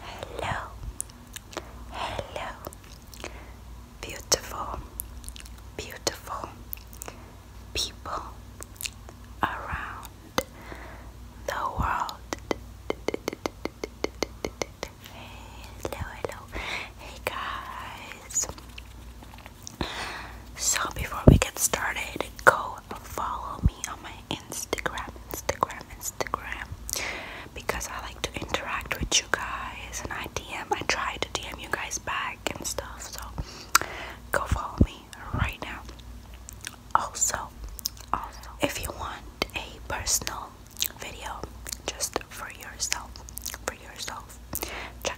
Hello, hello, beautiful, beautiful people around the world. Hello, hello, hey guys, so before we get started, go follow me on my Instagram, Instagram, Instagram, because I like to interact with you guys and I DM, I try to DM you guys back and stuff. So go follow me right now. Also, also, if you want a personal video just for yourself, for yourself, check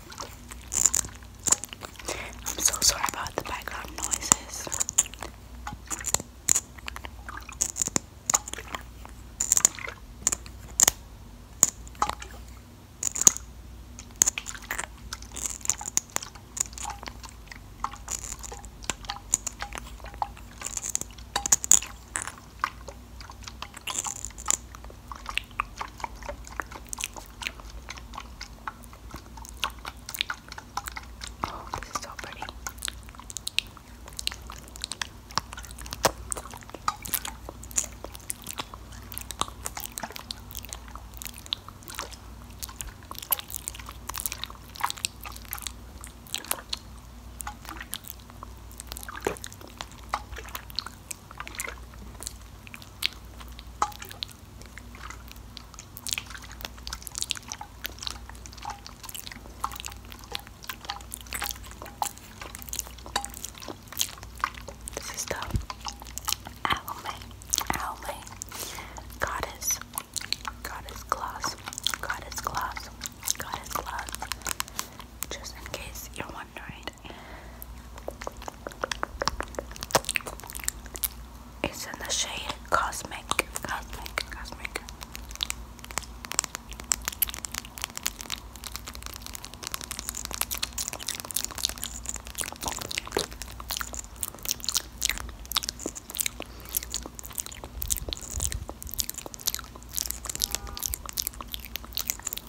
I'm so sorry about the background noises. Oh, this is so pretty. This is the Alme, Alme, Goddess, Goddess Gloss, Goddess Gloss, Goddess Gloss. Just in case you're wondering, it's in the shade Cosmic, Cosmic, Cosmic.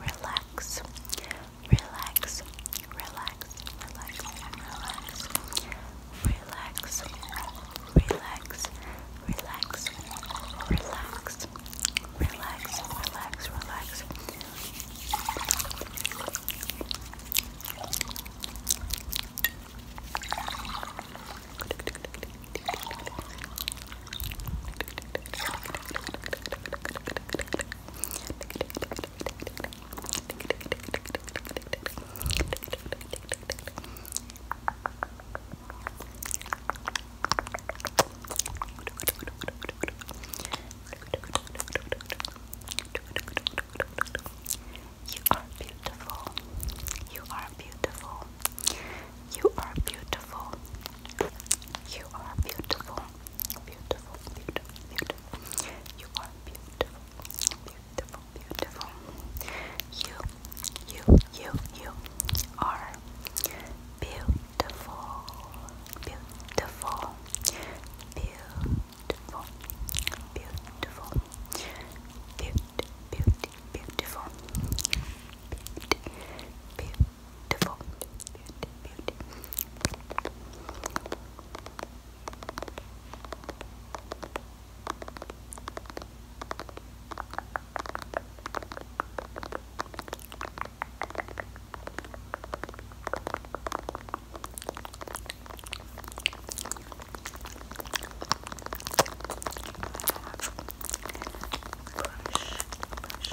relax, relax, relax, relax, relax, relax, relax, relax, relax, relax, relax, relax. Good, you are beautiful. You are beautiful. You are beautiful. You are beautiful. Beautiful, beautiful, beautiful. You are beautiful. Beautiful, beautiful. You, you, you, you are beautiful. Beautiful. Beautiful. Beautiful. Beauty, beauty, beautiful. Beauty, beautiful, beauty, beauty. Brush, brush,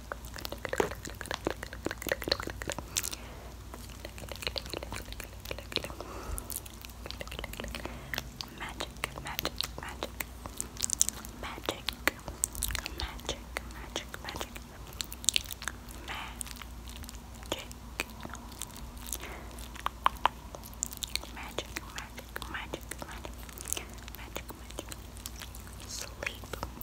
Magic, magic, magic, magic, magic, magic, magic, magic. Magic, magic, magic, magic, magic, magic. Sleep,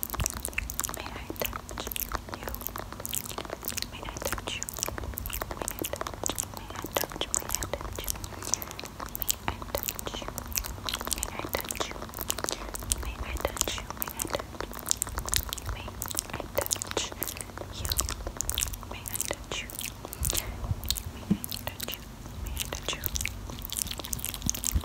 May I touch you? May I touch you? May I touch? May I touch? May I touch? May I touch you? May I touch you? May I touch you? May I touch? May I touch you? May I touch you? May I touch you? May I touch you?